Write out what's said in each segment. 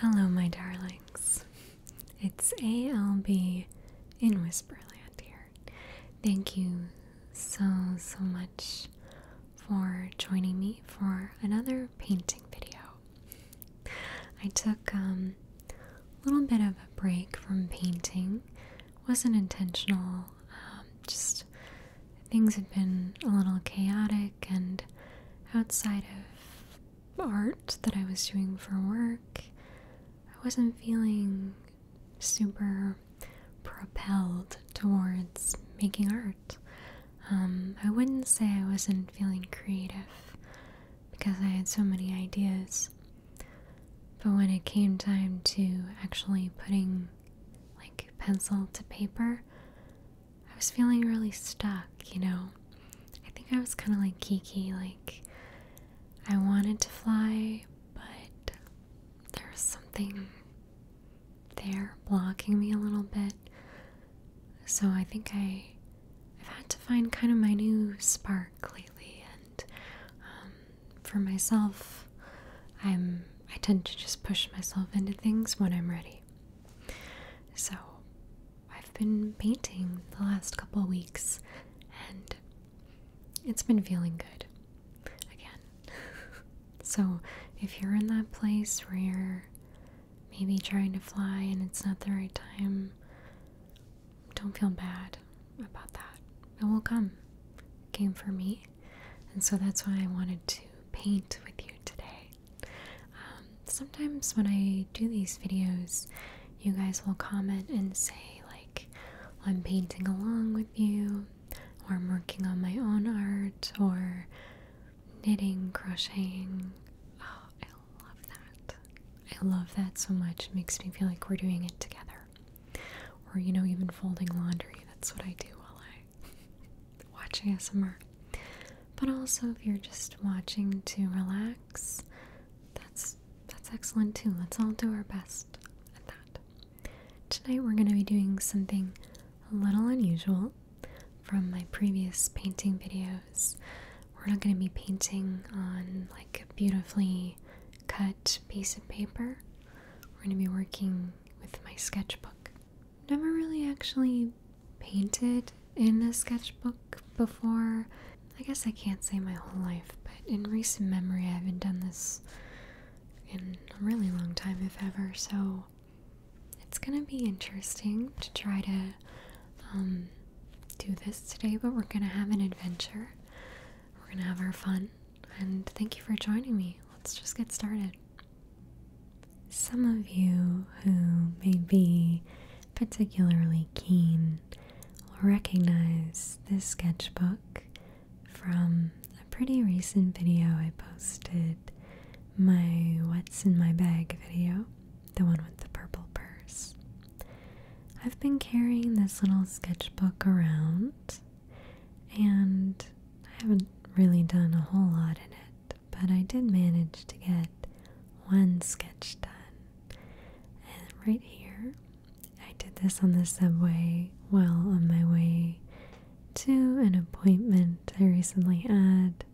Hello, my darlings. It's ALB in Whisperland here. Thank you so, so much for joining me for another painting video. I took um, a little bit of a break from painting. Wasn't intentional, um, just things have been a little chaotic and outside of art that I was doing for work, I wasn't feeling super propelled towards making art. Um, I wouldn't say I wasn't feeling creative because I had so many ideas. But when it came time to actually putting like pencil to paper, I was feeling really stuck, you know. I think I was kind of like Kiki, like I wanted to fly, but there's something there blocking me a little bit. So I think I I've had to find kind of my new spark lately, and um, for myself, I'm I tend to just push myself into things when I'm ready. So I've been painting the last couple weeks and it's been feeling good again. so, if you're in that place where you're maybe trying to fly and it's not the right time, don't feel bad about that. It will come. came for me. And so that's why I wanted to paint with you today. Um, sometimes when I do these videos, you guys will comment and say, like, I'm painting along with you, or I'm working on my own art, or knitting, crocheting. Oh, I love that. I love that so much. It makes me feel like we're doing it together. Or, you know, even folding laundry. That's what I do while I am watch ASMR. But also if you're just watching to relax, that's that's excellent too. Let's all do our best at that. Tonight we're going to be doing something a little unusual from my previous painting videos. We're not going to be painting on like a beautifully cut piece of paper. We're going to be working with my sketchbook. Never really actually painted in a sketchbook before. I guess I can't say my whole life, but in recent memory, I haven't done this in a really long time, if ever. So it's gonna be interesting to try to um, do this today, but we're gonna have an adventure. We're gonna have our fun. And thank you for joining me. Let's just get started some of you who may be particularly keen will recognize this sketchbook from a pretty recent video I posted my What's in My Bag video, the one with the purple purse. I've been carrying this little sketchbook around and I haven't really done a whole lot in it but I did manage to get one sketch done. And right here, I did this on the subway while on my way to an appointment I recently had.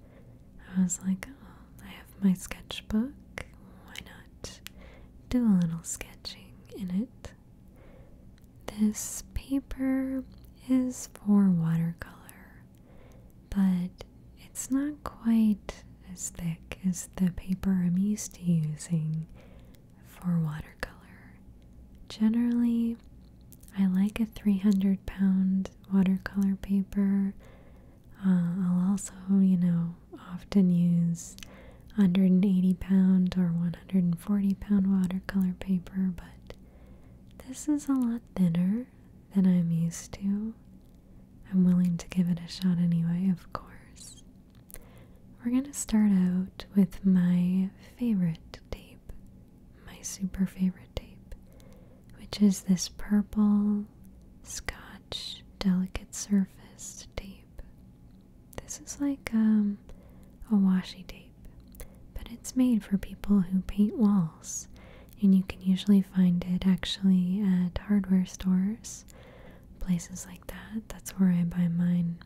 I was like, oh, I have my sketchbook. Why not do a little sketching in it? This paper is for watercolor but it's not quite as thick as the paper I'm used to using for watercolor. Generally, I like a 300 pound watercolor paper. Uh, I'll also, you know, often use 180 pound or 140 pound watercolor paper, but this is a lot thinner, than I'm used to, I'm willing to give it a shot anyway, of course. We're going to start out with my favorite tape, my super favorite tape, which is this purple scotch delicate surface tape. This is like um, a washi tape, but it's made for people who paint walls and you can usually find it actually at hardware stores, places like that. That's where I buy mine.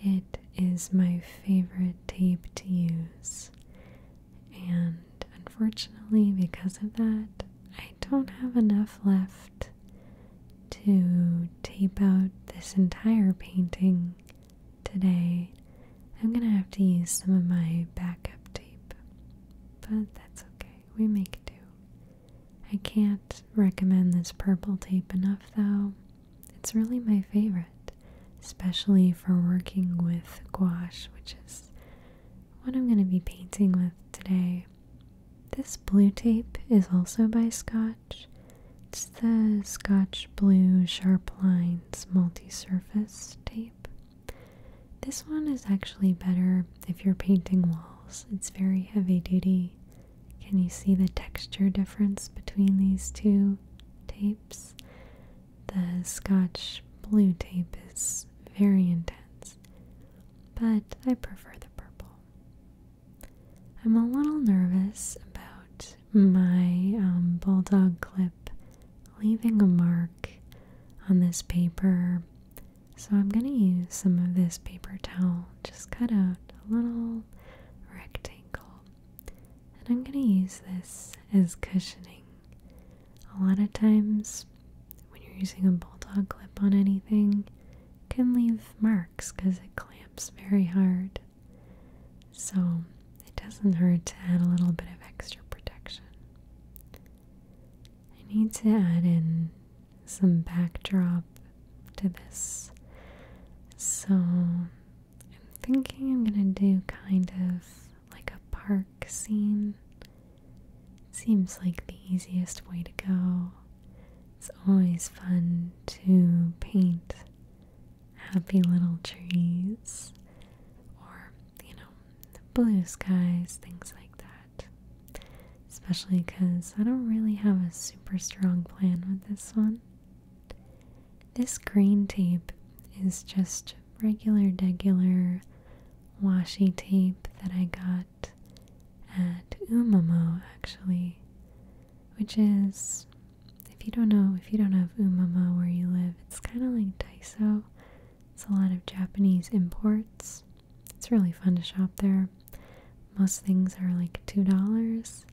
It is my favorite tape to use, and unfortunately, because of that, I don't have enough left to tape out this entire painting today. I'm gonna have to use some of my backup tape, but that's okay. We make do. I can't recommend this purple tape enough, though. It's really my favorite, especially for working with gouache, which is what I'm gonna be painting with today. This blue tape is also by Scotch. It's the Scotch Blue Sharp Lines Multi Surface Tape. This one is actually better if you're painting walls. It's very heavy duty. Can you see the texture difference between these two tapes? The Scotch blue tape is very intense, but I prefer the purple. I'm a little nervous about my um, bulldog clip leaving a mark on this paper. So I'm going to use some of this paper towel, just cut out a little rectangle. And I'm going to use this as cushioning. A lot of times when you're using a bulldog clip on anything, it can leave marks because it clamps very hard. So it doesn't hurt to add a little bit of extra protection. I need to add in some backdrop to this. So I'm thinking I'm gonna do kind of like a park scene. Seems like the easiest way to go. It's always fun to paint happy little trees or, you know, blue skies, things like that. Especially because I don't really have a super strong plan with this one. This green tape is just regular, regular washi tape that I got at Umamo actually, which is if you don't know, if you don't have Umamo where you live, it's kind of like Daiso, it's a lot of Japanese imports. It's really fun to shop there. Most things are like $2,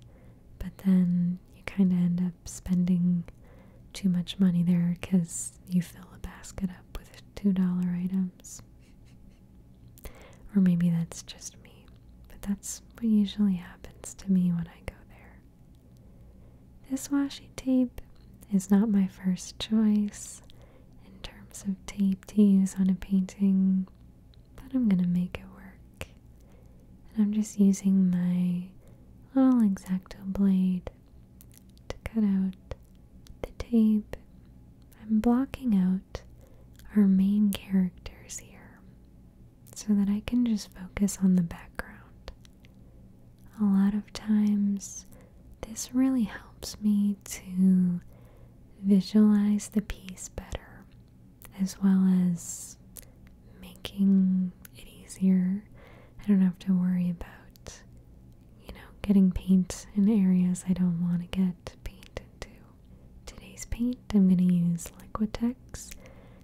but then you kind of end up spending too much money there because you fill a basket up with $2 items. Or maybe that's just me, but that's what usually happens to me when I go there. This washi tape is not my first choice in terms of tape to use on a painting, but I'm gonna make it work. And I'm just using my little exacto blade to cut out the tape. I'm blocking out our main characters here so that I can just focus on the background. A lot of times, this really helps me to visualize the piece better, as well as making it easier. I don't have to worry about, you know, getting paint in areas I don't want to get painted into. Today's paint, I'm going to use Liquitex.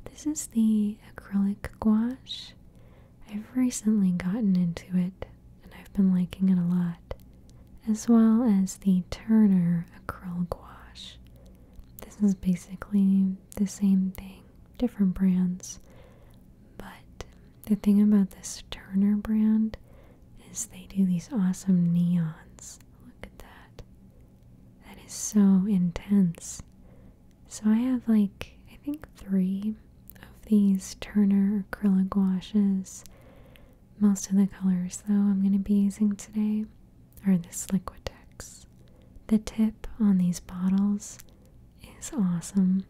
This is the acrylic gouache. I've recently gotten into it and I've been liking it a lot, as well as the Turner Acrylic gouache. This is basically the same thing, different brands, but the thing about this Turner brand is they do these awesome neons. Look at that. That is so intense. So I have like, I think three of these Turner acrylic gouaches. Most of the colors though I'm going to be using today are this Liquitex. The tip on these bottles is awesome.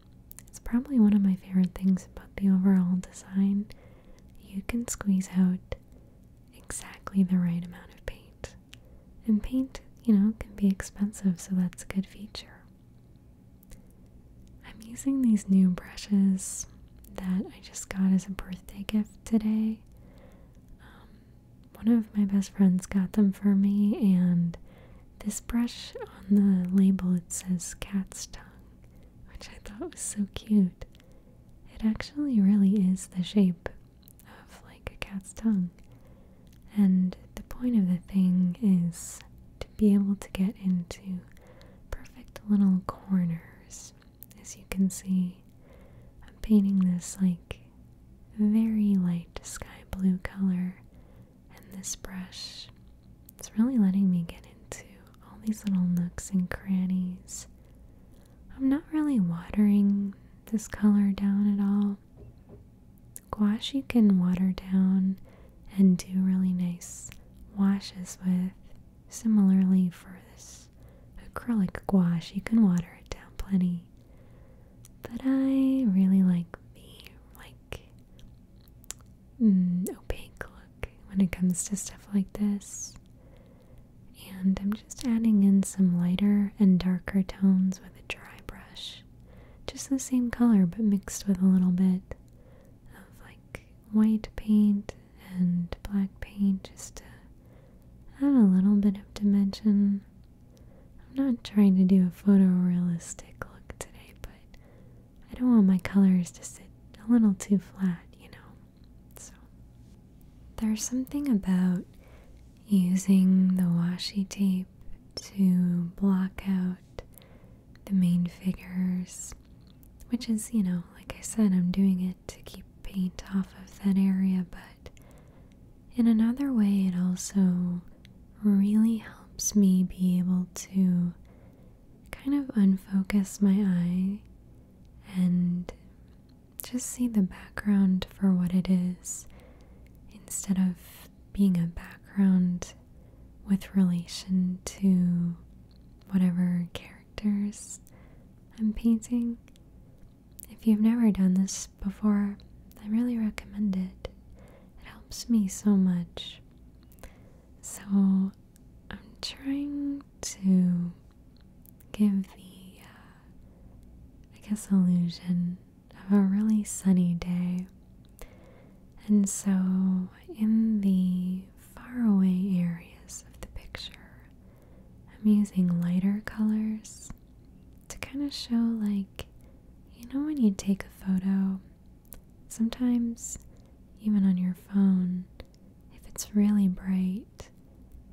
It's probably one of my favorite things about the overall design. You can squeeze out exactly the right amount of paint. And paint, you know, can be expensive, so that's a good feature. I'm using these new brushes that I just got as a birthday gift today. Um, one of my best friends got them for me, and this brush on the label it says cat's tongue, which I thought was so cute. It actually really is the shape of like a cat's tongue. And the point of the thing is to be able to get into perfect little corners. As you can see, I'm painting this like very light sky blue color, and this brush it's really letting me get into all these little nooks and crannies. I'm not really watering this color down at all. Gouache you can water down and do really nice washes with. Similarly, for this acrylic gouache, you can water it down plenty. But I really like the like mm, opaque look when it comes to stuff like this. And I'm just adding in some lighter and darker tones with a dry brush just the same color but mixed with a little bit of like white paint and black paint just to add a little bit of dimension. I'm not trying to do a photorealistic look today, but I don't want my colors to sit a little too flat, you know. So there's something about using the washi tape to block out the main figures, which is, you know, like I said, I'm doing it to keep paint off of that area, but in another way, it also really helps me be able to kind of unfocus my eye and just see the background for what it is instead of being a background with relation to whatever characters I'm painting. If you've never done this before, I really recommend it. It helps me so much. So, I'm trying to give the, uh, I guess, illusion of a really sunny day. And so, in the faraway areas of the picture, I'm using lighter colors to kind of show, like, you know, when you take a photo, sometimes even on your phone, if it's really bright,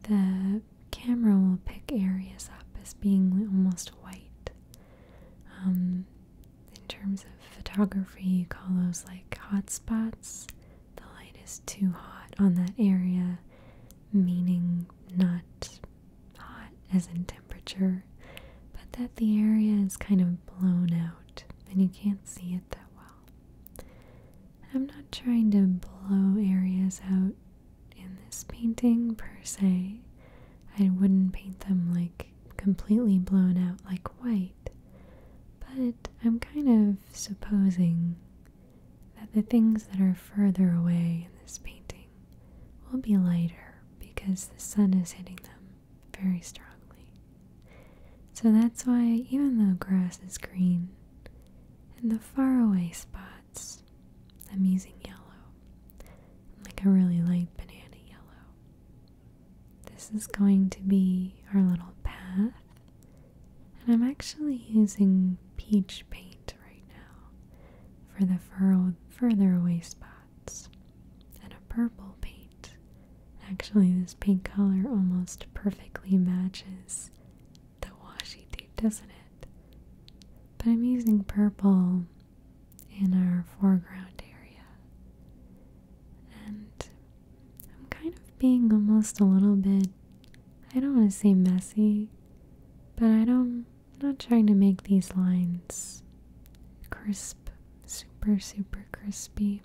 the camera will pick areas up as being almost white. Um, in terms of photography, you call those like hot spots. The light is too hot on that area, meaning not hot as in temperature, but that the area is kind of blown out and you can't see it that well. I'm not trying to blow areas out in this painting per se. I wouldn't paint them like completely blown out like white, but I'm kind of supposing that the things that are further away in this painting will be lighter because the sun is hitting them very strongly. So that's why, even though grass is green, in the faraway spots, I'm using yellow, like a really light banana yellow. This is going to be our little path. And I'm actually using peach paint right now for the fur further away spots and a purple paint. Actually, this paint color almost perfectly matches the washi tape, doesn't it? But I'm using purple in our foreground area. And I'm kind of being almost a little bit, I don't want to say messy, but I don't, I'm not trying to make these lines crisp, super, super crispy.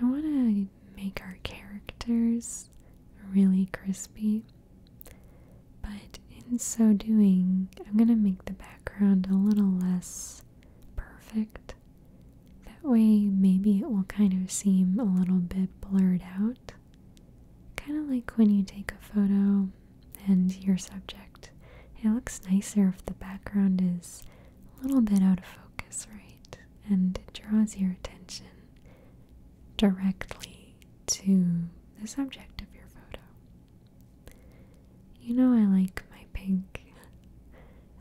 I want to make our characters really crispy, but in so doing, I'm going to make the background background a little less perfect. That way, maybe it will kind of seem a little bit blurred out. Kind of like when you take a photo and your subject, it looks nicer if the background is a little bit out of focus, right? And it draws your attention directly to the subject of your photo. You know I like my pink.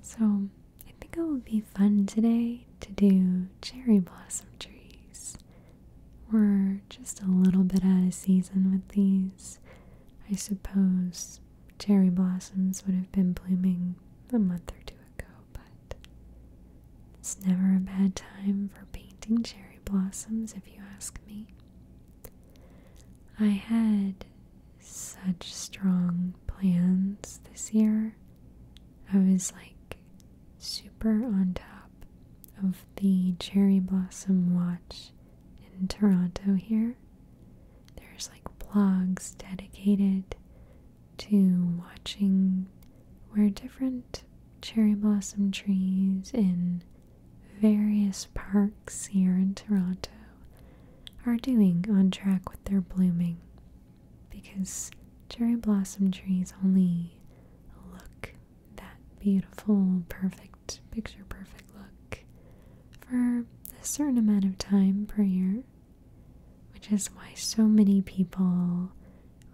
So I think it will be fun today to do cherry blossom trees. We're just a little bit out of season with these. I suppose cherry blossoms would have been blooming a month or two ago, but it's never a bad time for painting cherry blossoms if you ask me. I had such strong plans this year. I was like super on top of the cherry blossom watch in Toronto here. There's like blogs dedicated to watching where different cherry blossom trees in various parks here in Toronto are doing on track with their blooming because cherry blossom trees only look that beautiful, perfect, picture perfect look for a certain amount of time per year, which is why so many people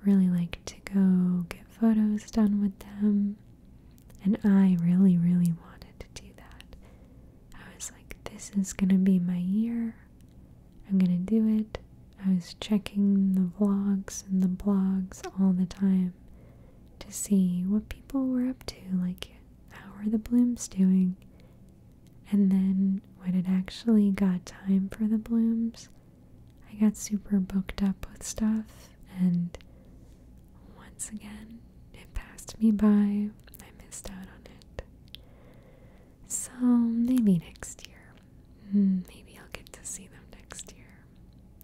really like to go get photos done with them. And I really, really wanted to do that. I was like, this is going to be my year. I'm going to do it. I was checking the vlogs and the blogs all the time to see what people were up to, like how are the blooms doing? And then when it actually got time for the blooms, I got super booked up with stuff and once again it passed me by. I missed out on it. So maybe next year. Hmm, maybe I'll get to see them next year.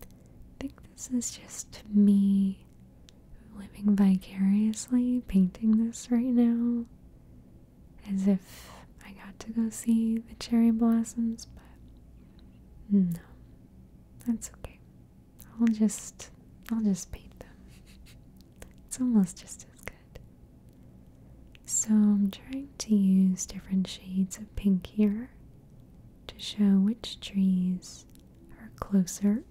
I think this is just me living vicariously, painting this right now. As if I got to go see the cherry blossoms, but no, that's okay. I'll just I'll just paint them. It's almost just as good. So I'm trying to use different shades of pink here to show which trees are closer.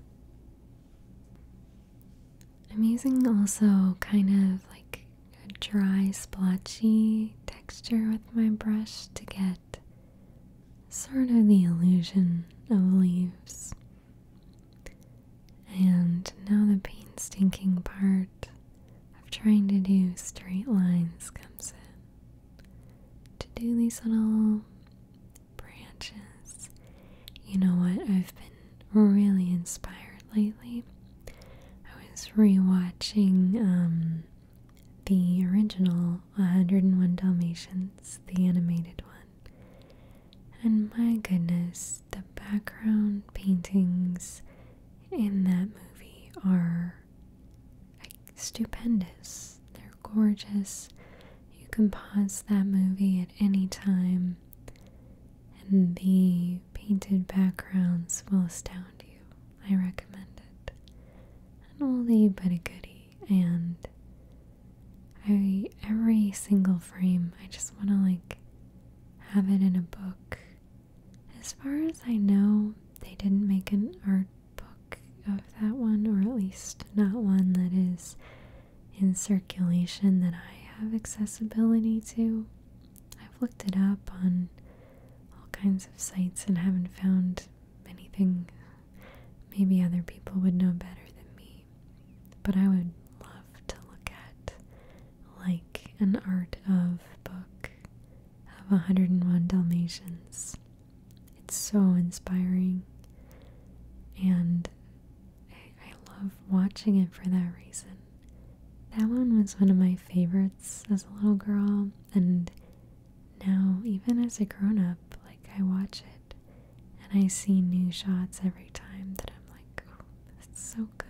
I'm using also kind of like a dry splotchy texture with my brush to get sort of the illusion of leaves. And now the painstaking part of trying to do straight lines comes in. To do these little branches. You know what? I've been really inspired lately. I was rewatching um the original 101 Dalmatians, the animated one. And my goodness, the background paintings in that movie are stupendous. They're gorgeous. You can pause that movie at any time, and the painted backgrounds will astound you. I recommend it. An but a goodie and every single frame I just want to like have it in a book. As far as I know, they didn't make an art book of that one or at least not one that is in circulation that I have accessibility to. I've looked it up on all kinds of sites and haven't found anything Maybe other people would know better than me, but I would love to look at like an art of book of 101 Dalmatians. It's so inspiring, and I, I love watching it for that reason. That one was one of my favorites as a little girl, and now, even as a grown up, like I watch it and I see new shots every time that I'm like, oh, it's so good.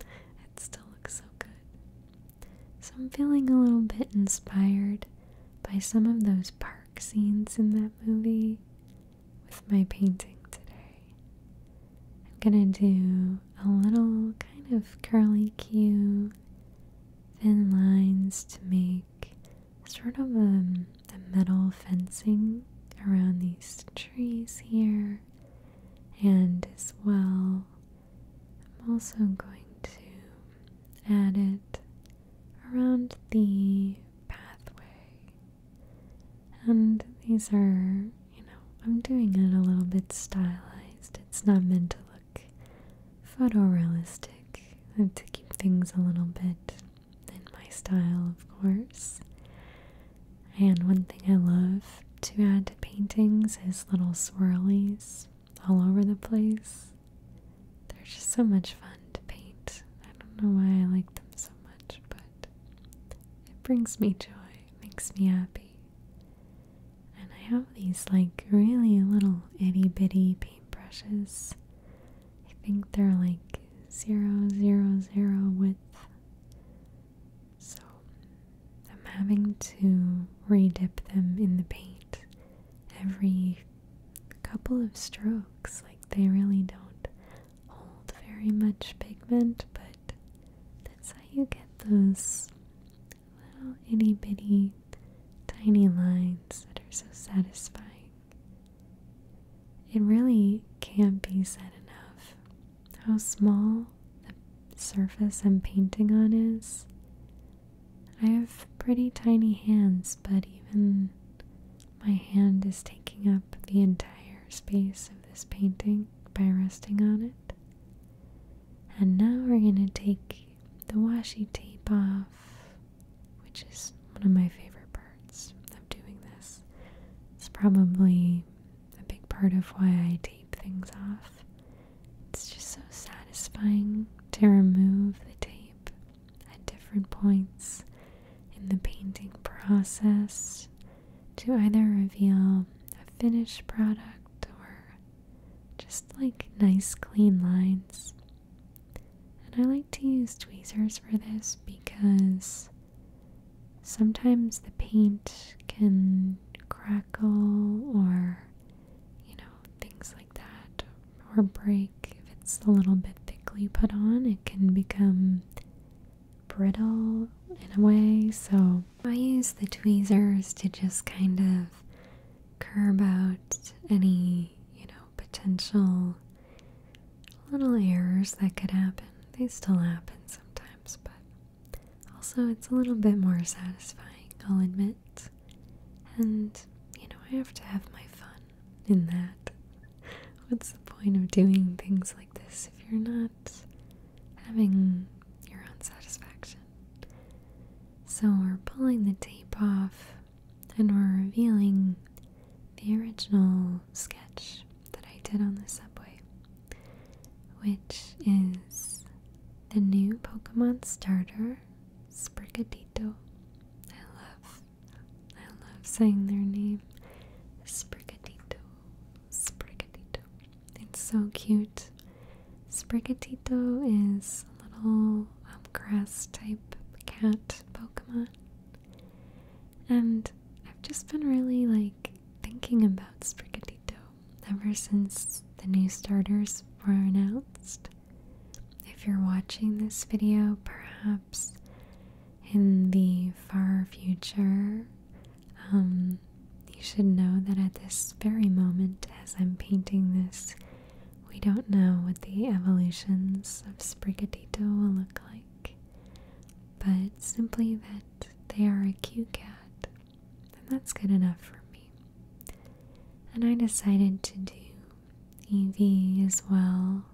It still looks so good. So I'm feeling a little bit inspired by some of those park scenes in that movie with my painting today. I'm gonna do a little kind of curly Q thin lines to make sort of a, um, metal fencing around these trees here, and as well, I'm also going to add it around the pathway. And these are, you know, I'm doing it a little bit stylized. It's not meant to look photorealistic. I to keep things a little bit in my style, of course. And one thing I love to add to paintings is little swirlies all over the place. They're just so much fun to paint. I don't know why I like them so much, but it brings me joy, makes me happy. And I have these like really little itty bitty paintbrushes I think they're like zero zero zero width. So I'm having to redip them in the paint every couple of strokes. Like they really don't hold very much pigment, but that's how you get those little itty bitty tiny, lines that are so satisfying. It really can't be said enough how small the surface I'm painting on is. I have pretty tiny hands, but even my hand is taking up the entire space of this painting by resting on it. And now we're going to take the washi tape off which is one of my favorite parts of doing this. It's probably a big part of why I tape things off. It's just so satisfying to remove the tape at different points in the painting process to either reveal a finished product or just like nice clean lines and I like to use tweezers for this because sometimes the paint can crackle or, you know, things like that, or break. If it's a little bit thickly put on, it can become brittle in a way. So I use the tweezers to just kind of curb out any, you know, potential little errors that could happen. They still happen sometimes, but also it's a little bit more satisfying, I'll admit. And, you know, I have to have my fun in that. What's the point of doing things like this if you're not having your own satisfaction? So we're pulling the tape off and we're revealing the original sketch that I did on the subway, which is the new Pokemon starter, Sprigatito. I love, I love saying their name, Sprigatito, Sprigatito. It's so cute. Sprigatito is a little um, grass type cat Pokemon. And I've just been really like thinking about Sprigatito ever since the new starters were announced. If you're watching this video, perhaps in the far future, um, you should know that at this very moment, as I'm painting this we don't know what the evolutions of Sprigatito will look like, but simply that they are a cute cat, and that's good enough for me. And I decided to do Evie as well,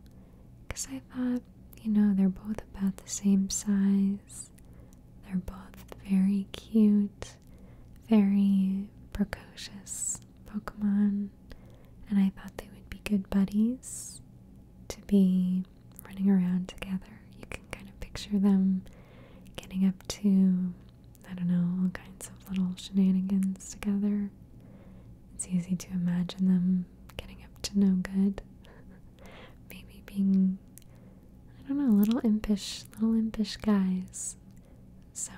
because I thought, you know, they're both about the same size, they're both very cute, very precocious Pokemon and I thought they would be good buddies to be running around together. You can kind of picture them getting up to, I don't know, all kinds of little shenanigans together. It's easy to imagine them getting up to no good. Maybe being, I don't know, little impish, little impish guys so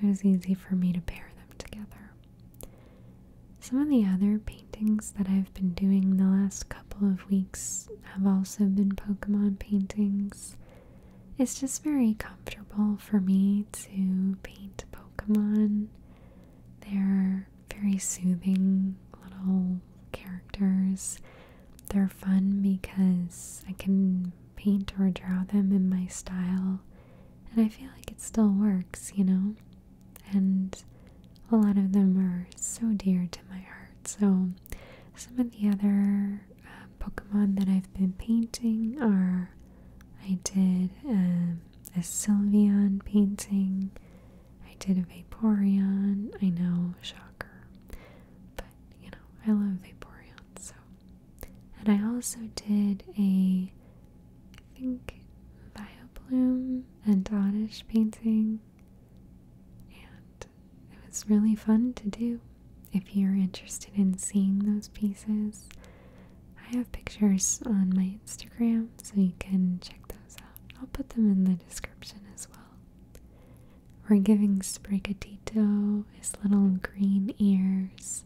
it was easy for me to pair them together. Some of the other paintings that I've been doing the last couple of weeks have also been Pokemon paintings. It's just very comfortable for me to paint Pokemon. They're very soothing little characters. They're fun because I can paint or draw them in my style, and I feel like it still works, you know? And a lot of them are so dear to my heart. So, some of the other uh, Pokemon that I've been painting are I did um, a Sylveon painting, I did a Vaporeon, I know, shocker, but you know, I love Vaporeon, so and I also did a, I think, Viobloom and Oddish painting. And it was really fun to do. If you're interested in seeing those pieces, I have pictures on my Instagram, so you can check those out. I'll put them in the description as well. We're giving Sprigatito his little green ears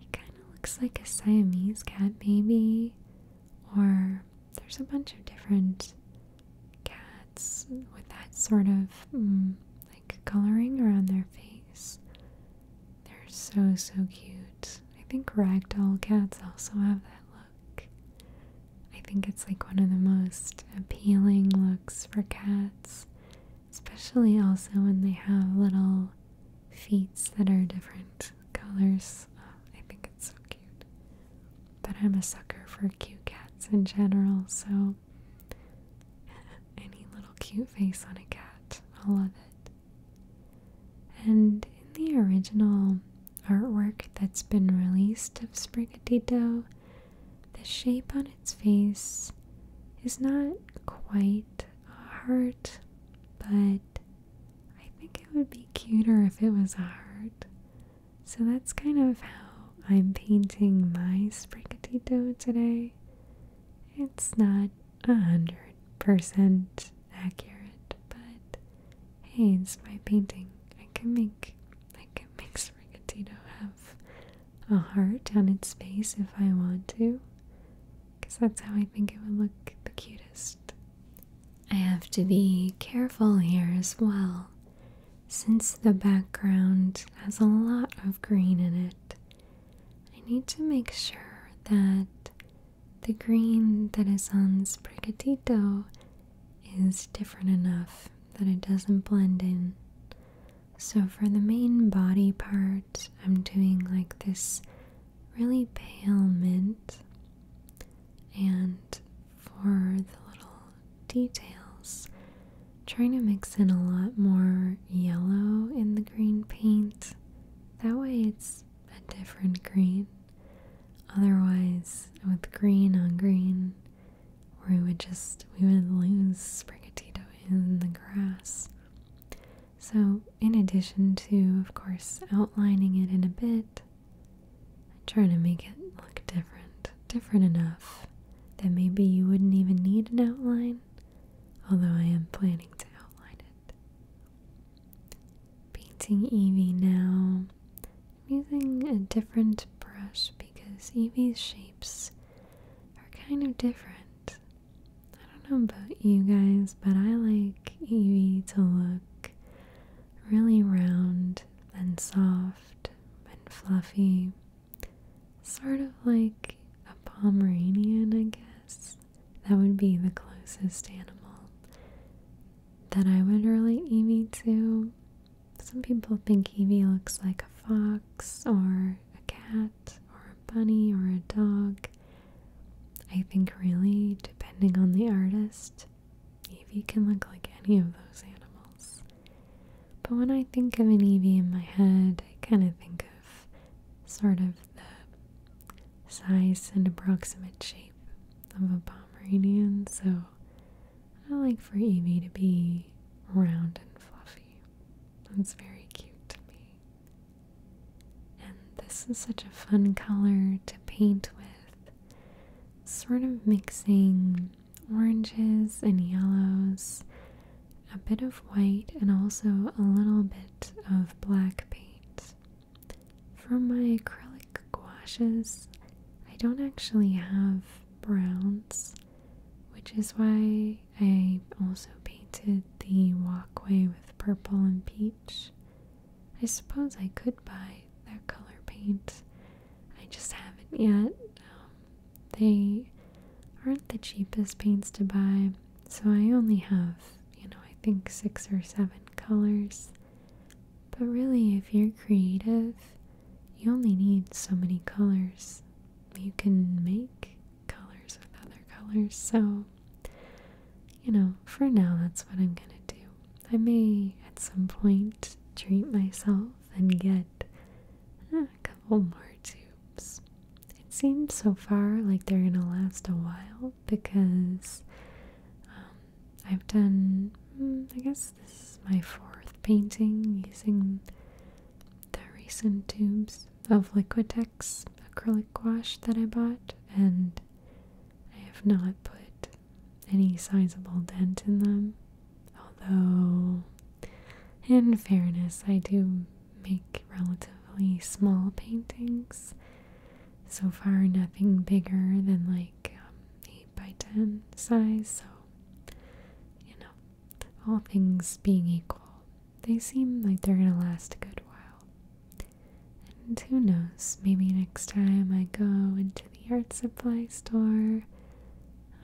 it kind of looks like a Siamese cat baby, or there's a bunch of different cats with that sort of mm, like coloring around their face. They're so so cute. I think ragdoll cats also have that look. I think it's like one of the most appealing looks for cats especially also when they have little feets that are different colors. Oh, I think it's so cute. But I'm a sucker for cute cats in general, so any little cute face on a cat, I love it. And in the original artwork that's been released of Sprigatito, the shape on its face is not quite heart, but I think it would be cuter if it was a heart. So that's kind of how I'm painting my sprigatito today. It's not a hundred percent accurate, but hey, it's my painting. I can make I can make sprigatito have a heart on its face if I want to. Because that's how I think it would look the cutest. I have to be careful here as well, since the background has a lot of green in it. I need to make sure that the green that is on Sprigatito is different enough that it doesn't blend in. So, for the main body part, I'm doing like this really pale mint, and for the little details, trying to mix in a lot more yellow in the green paint. That way, it's a different green. Otherwise, with green on green, we would just we would lose sprigatito in the grass. So, in addition to, of course, outlining it in a bit, I try to make it look different, different enough that maybe you wouldn't even need an outline, although I am planning to outline it. Painting Evie now. I'm using a different brush because Evie's shapes are kind of different. I don't know about you guys, but I like Evie to look really round and soft and fluffy. Sort of like a Pomeranian, I guess. That would be the closest animal that I would relate Evie to. Some people think Evie looks like a fox or a cat or a bunny or a dog. I think, really, depending on the artist, Evie can look like any of those animals. But when I think of an Evie in my head, I kind of think of sort of the size and approximate shape of a Pomeranian, so I like for Evie to be round and fluffy. That's very cute to me. And this is such a fun color to paint with. Sort of mixing oranges and yellows, a bit of white, and also a little bit of black paint. From my acrylic gouaches, I don't actually have browns, which is why I also painted the walkway with purple and peach. I suppose I could buy that color paint. I just haven't yet. Um, they aren't the cheapest paints to buy, so I only have, you know, I think six or seven colors. But really, if you're creative, you only need so many colors. You can make colors with other colors. So, you know, for now, that's what I'm gonna do. I may at some point treat myself and get ah, a couple more tubes. It seems so far like they're gonna last a while because um, I've done, hmm, I guess this is my fourth painting using the recent tubes of liquid acrylic gouache that I bought, and I have not put any sizable dent in them. Although, in fairness, I do make relatively small paintings. So far, nothing bigger than like um, 8 by 10 size. So, you know, all things being equal, they seem like they're gonna last a good while. And who knows, maybe next time I go into the art supply store,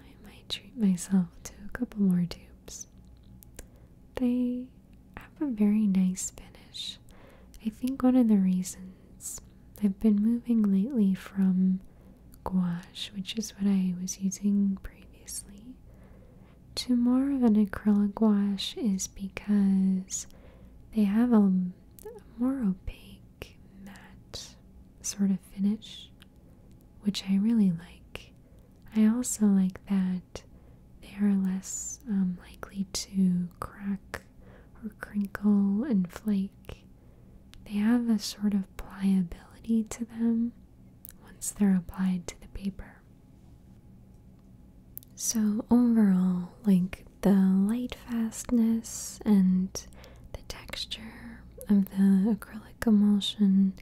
I might treat myself to a couple more tubes. They have a very nice finish. I think one of the reasons I've been moving lately from gouache, which is what I was using previously, to more of an acrylic wash is because they have a, more opaque matte sort of finish, which I really like. I also like that they are less um, likely to crack or crinkle and flake. They have a sort of pliability to them once they're applied to the paper. So, overall, like the light fastness and the texture of the acrylic emulsion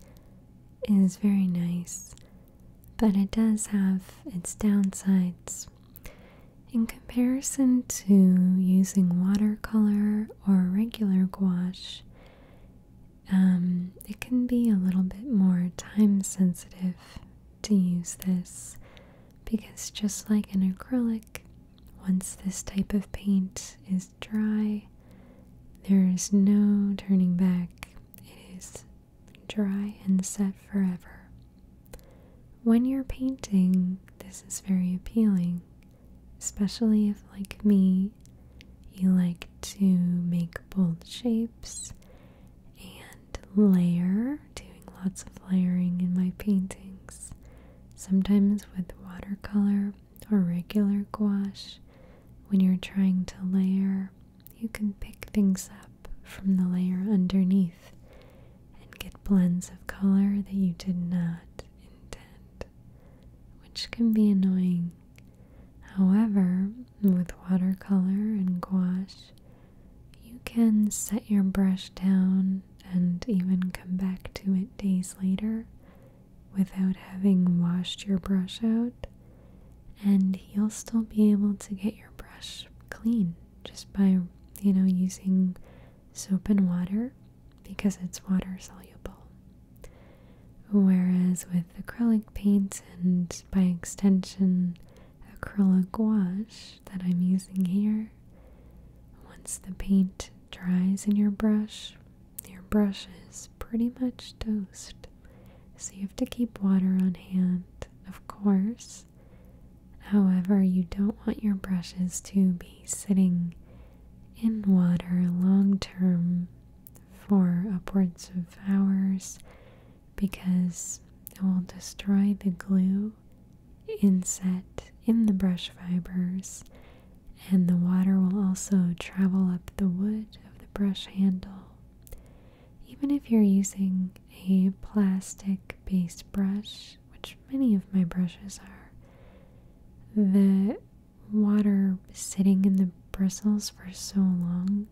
is very nice, but it does have its downsides. In comparison to using watercolor or regular gouache, um, it can be a little bit more time sensitive to use this because, just like an acrylic, once this type of paint is dry, there is no turning back. It is dry and set forever. When you're painting, this is very appealing, especially if, like me, you like to make bold shapes and layer, doing lots of layering in my paintings, sometimes with watercolor or regular gouache. When you're trying to layer, you can pick things up from the layer underneath and get blends of color that you did not intend, which can be annoying However, with watercolor and gouache, you can set your brush down and even come back to it days later without having washed your brush out, and you'll still be able to get your brush clean just by, you know, using soap and water because it's water soluble. Whereas with acrylic paint and by extension acrylic gouache that I'm using here, once the paint dries in your brush, your brush is pretty much toast. So you have to keep water on hand, of course. However, you don't want your brushes to be sitting in water long term for upwards of hours because it will destroy the glue inset in the brush fibers, and the water will also travel up the wood of the brush handle. Even if you're using a plastic based brush, which many of my brushes are, the water sitting in the bristles for so long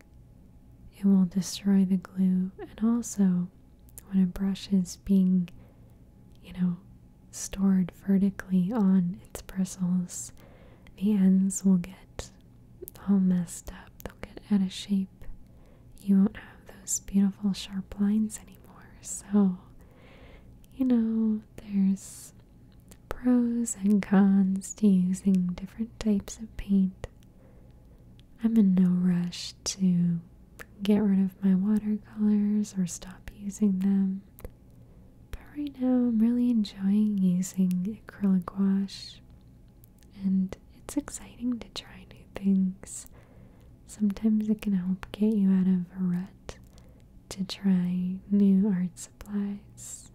it will destroy the glue and also when a brush is being, you know, stored vertically on its bristles, the ends will get all messed up. They'll get out of shape. You won't have those beautiful sharp lines anymore. So, you know, there's pros and cons to using different types of paint. I'm in no rush to get rid of my watercolors or stop using them, but right now I'm really enjoying using acrylic wash, and it's exciting to try new things. Sometimes it can help get you out of a rut to try new art supplies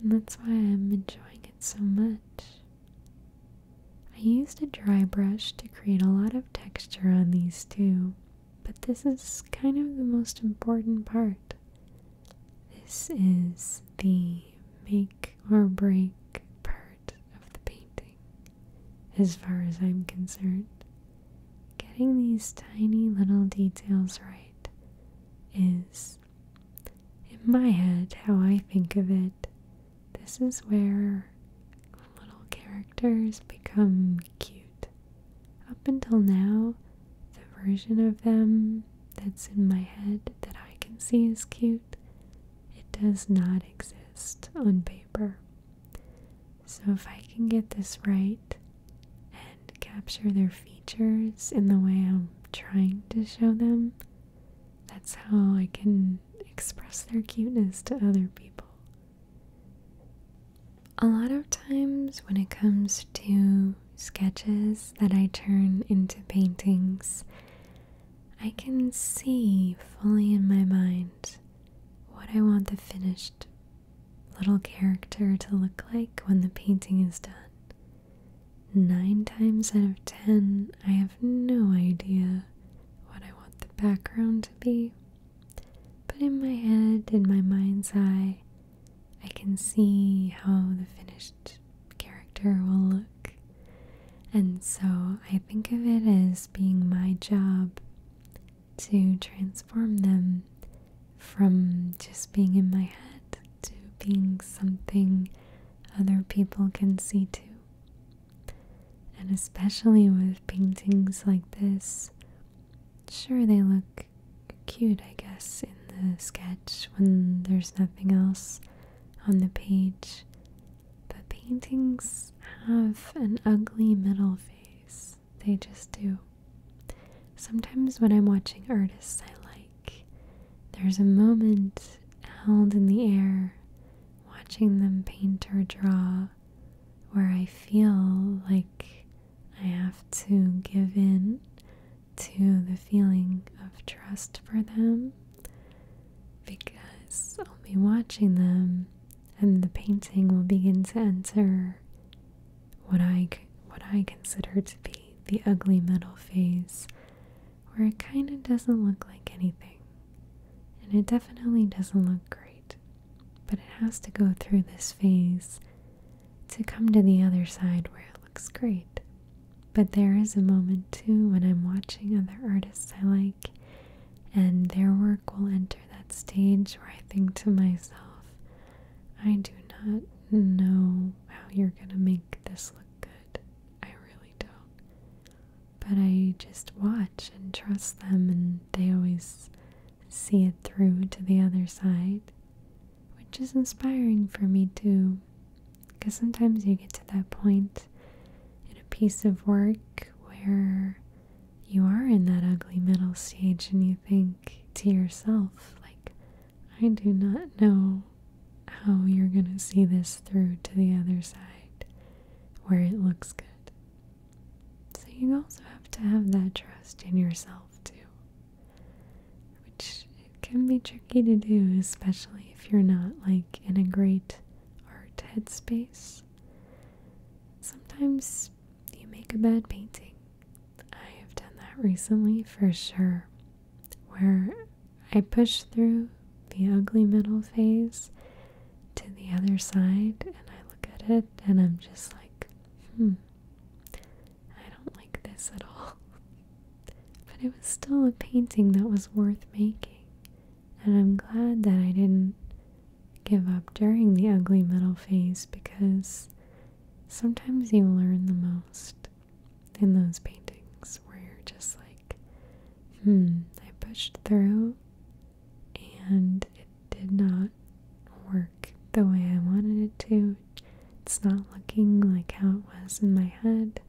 and that's why I'm enjoying it so much. I used a dry brush to create a lot of texture on these two, but this is kind of the most important part. This is the make or break part of the painting, as far as I'm concerned. Getting these tiny little details right is in my head, how I think of it, this is where little characters become cute. Up until now, the version of them that's in my head that I can see is cute, it does not exist on paper. So if I can get this right, and capture their features in the way I'm trying to show them, that's how I can express their cuteness to other people. A lot of times, when it comes to sketches that I turn into paintings, I can see fully in my mind what I want the finished little character to look like when the painting is done. Nine times out of ten, I have no idea what I want the background to be. But in my head, in my mind's eye, I can see how the finished character will look. And so I think of it as being my job to transform them from just being in my head to being something other people can see too. And especially with paintings like this, sure they look cute, I guess, in the sketch when there's nothing else on the page. But paintings have an ugly middle phase, they just do. Sometimes when I'm watching artists I like, there's a moment held in the air watching them paint or draw where I feel like I have to give in to the feeling of trust for them because I'll be watching them and the painting will begin to enter what I what I consider to be the ugly metal phase, where it kind of doesn't look like anything, and it definitely doesn't look great, but it has to go through this phase to come to the other side where it looks great. But there is a moment too when I'm watching other artists I like, and their work will enter that stage where I think to myself, I do not know how you're gonna make this look good. I really don't. But I just watch and trust them, and they always see it through to the other side, which is inspiring for me too. Because sometimes you get to that point in a piece of work where you are in that ugly middle stage and you think to yourself, like, I do not know how you're going to see this through to the other side where it looks good. So you also have to have that trust in yourself too. Which can be tricky to do, especially if you're not like in a great art headspace. Sometimes you make a bad painting. I have done that recently for sure where I push through the ugly middle phase to the other side and I look at it and I'm just like, hmm, I don't like this at all. But it was still a painting that was worth making. And I'm glad that I didn't give up during the ugly middle phase because sometimes you learn the most in those paintings where you're just like, hmm, I pushed through and it did not work the way I wanted it to. It's not looking like how it was in my head.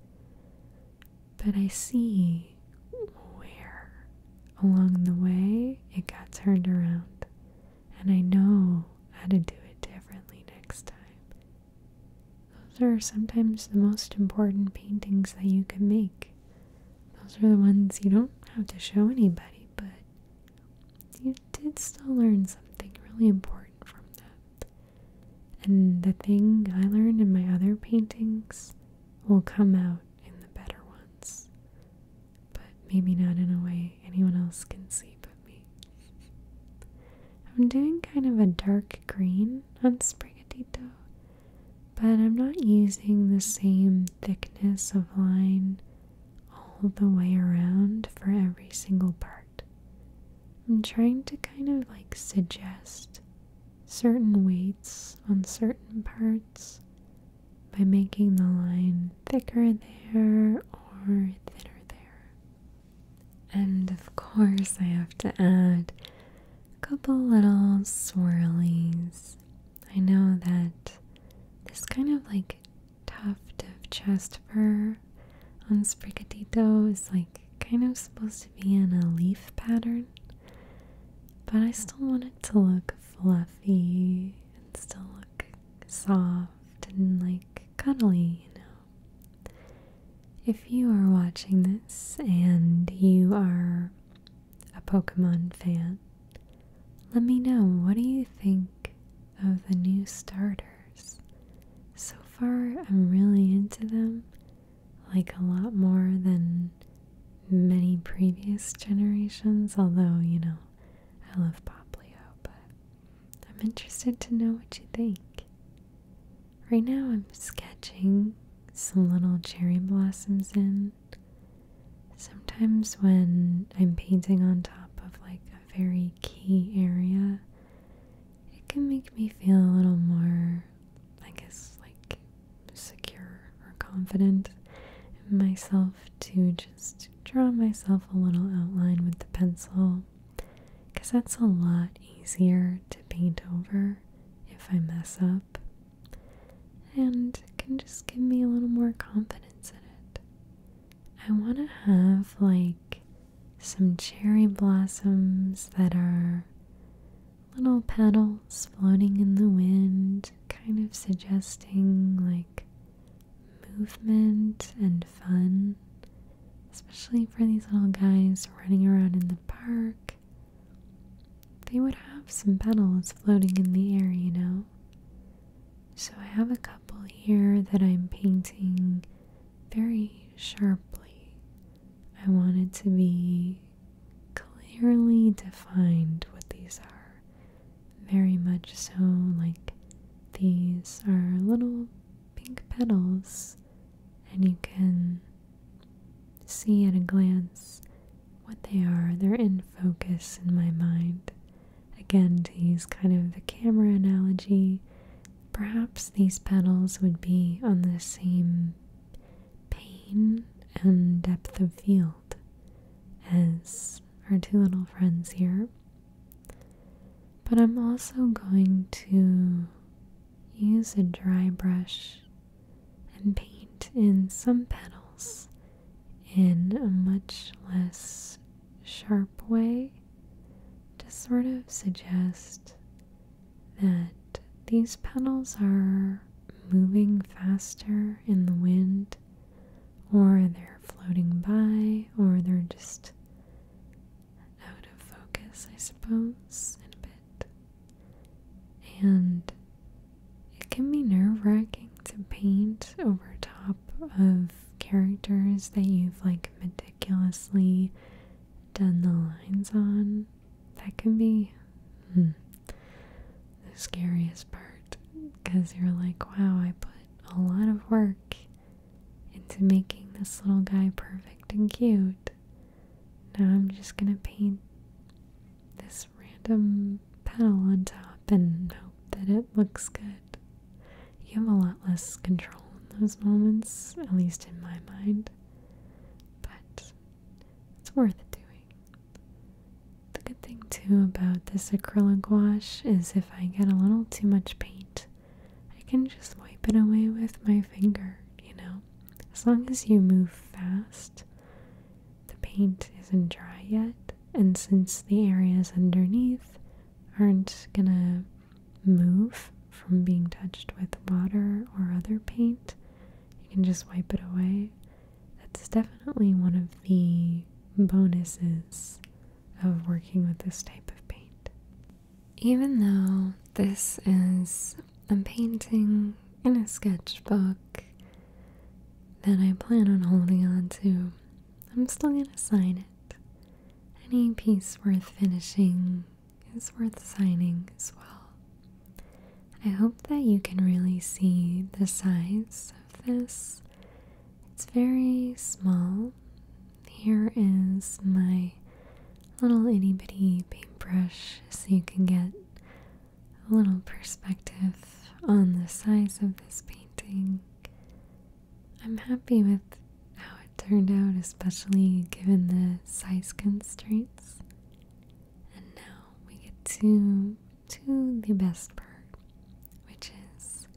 But I see where along the way it got turned around. And I know how to do it differently next time. Those are sometimes the most important paintings that you can make. Those are the ones you don't have to show anybody, but you did still learn something really important from them. And the thing I learned in my other paintings will come out in the better ones, but maybe not in a way anyone else can see I'm doing kind of a dark green on Sprigatito, but I'm not using the same thickness of line all the way around for every single part. I'm trying to kind of like suggest certain weights on certain parts by making the line thicker there or thinner there. And of course, I have to add a couple little swirlies. I know that this kind of like tuft of chest fur on Sprigatito is like kind of supposed to be in a leaf pattern, but I still want it to look fluffy and still look soft and like cuddly, you know. If you are watching this and you are a Pokemon fan, let me know what do you think of the new starters. So far, I'm really into them, like a lot more than many previous generations, although, you know, I love Poplio, but I'm interested to know what you think. Right now, I'm sketching some little cherry blossoms in. Sometimes, when I'm painting on top of like a very key area, it can make me feel a little more, I guess, like secure or confident in myself to just draw myself a little outline with the pencil because that's a lot easier to paint over if I mess up and can just give me a little more confidence in it. I want to have like some cherry blossoms that are little petals floating in the wind, kind of suggesting like movement and fun especially for these little guys running around in the park. They would have some petals floating in the air, you know. So I have a couple here that I'm painting very sharply. I want it to be clearly defined what these are. Very much so, like these are little pink petals, and you can see at a glance what they are. They're in focus in my mind. Again, to use kind of the camera analogy, perhaps these petals would be on the same pain and depth of field as our two little friends here but I'm also going to use a dry brush and paint in some petals in a much less sharp way to sort of suggest that these petals are moving faster in the wind or they're floating by or they're just out of focus, I suppose, a bit. And it can be nerve wracking to paint over top of characters that you've like meticulously done the lines on. That can be hmm, the scariest part because you're like, wow, I put a lot of work into making this little guy perfect and cute. Now I'm just gonna paint this random petal on top and hope that it looks good. You have a lot less control in those moments, at least in my mind, but it's worth doing. The good thing too about this acrylic wash is if I get a little too much paint, I can just wipe it away with my finger, you know? As long as you move fast, the paint isn't dry yet, and since the areas underneath aren't gonna move from being touched with water or other paint, you can just wipe it away. That's definitely one of the bonuses of working with this type of paint. Even though this is a painting in a sketchbook that I plan on holding on to, I'm still going to sign it. Any piece worth finishing is worth signing as well. I hope that you can really see the size of this. It's very small, here is my little itty bitty paintbrush so you can get a little perspective on the size of this painting. I'm happy with how it turned out, especially given the size constraints. And now we get to to the best part, which is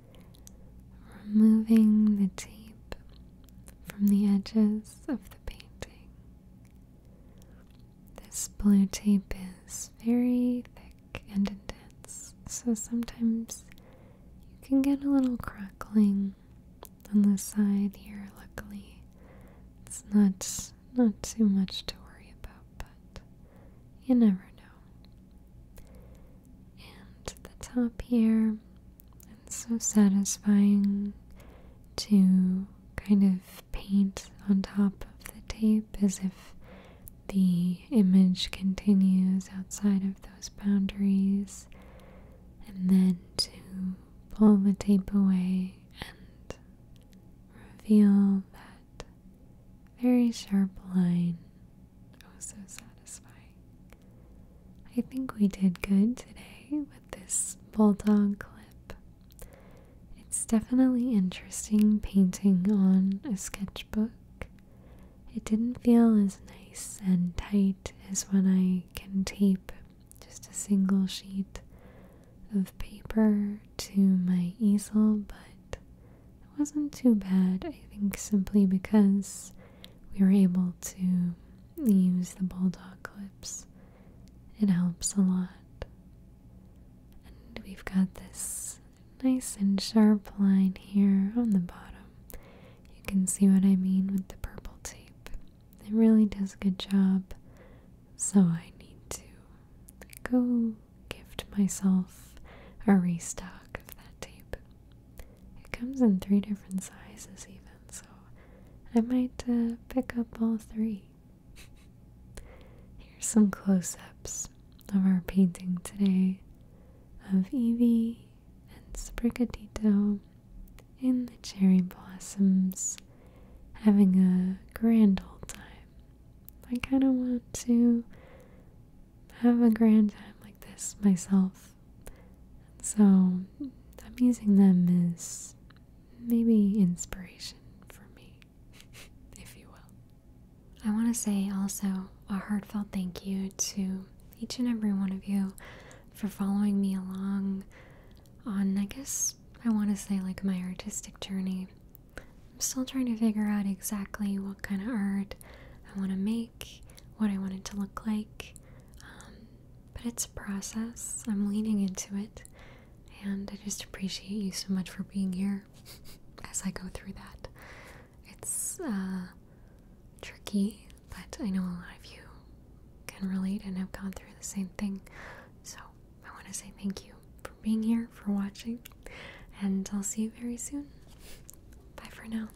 removing the tape from the edges of the painting. This blue tape is very thick and dense, so sometimes you can get a little crackling on the side here. Luckily, it's not not too much to worry about, but you never know. And the top here it's so satisfying to kind of paint on top of the tape as if the image continues outside of those boundaries, and then to pull the tape away and reveal that very sharp line. Oh, so satisfying. I think we did good today with this bulldog clip. It's definitely interesting painting on a sketchbook. It didn't feel as nice and tight as when I can tape just a single sheet of paper to my easel, but it wasn't too bad, I think, simply because we were able to use the bulldog clips. It helps a lot. And we've got this nice and sharp line here on the bottom. You can see what I mean with the purple tape. It really does a good job. So I need to go gift myself a restock of that tape. It comes in three different sizes, even, so I might uh, pick up all three. Here's some close ups of our painting today of Evie and Sprigatito in the cherry blossoms having a grand old time. I kind of want to have a grand time like this myself so I'm using them as maybe inspiration for me, if you will. I want to say also a heartfelt thank you to each and every one of you for following me along on, I guess, I want to say like my artistic journey. I'm still trying to figure out exactly what kind of art I want to make, what I want it to look like. Um, but it's a process. I'm leaning into it. And I just appreciate you so much for being here as I go through that. It's uh, tricky, but I know a lot of you can relate and have gone through the same thing. So I want to say thank you for being here, for watching, and I'll see you very soon. Bye for now.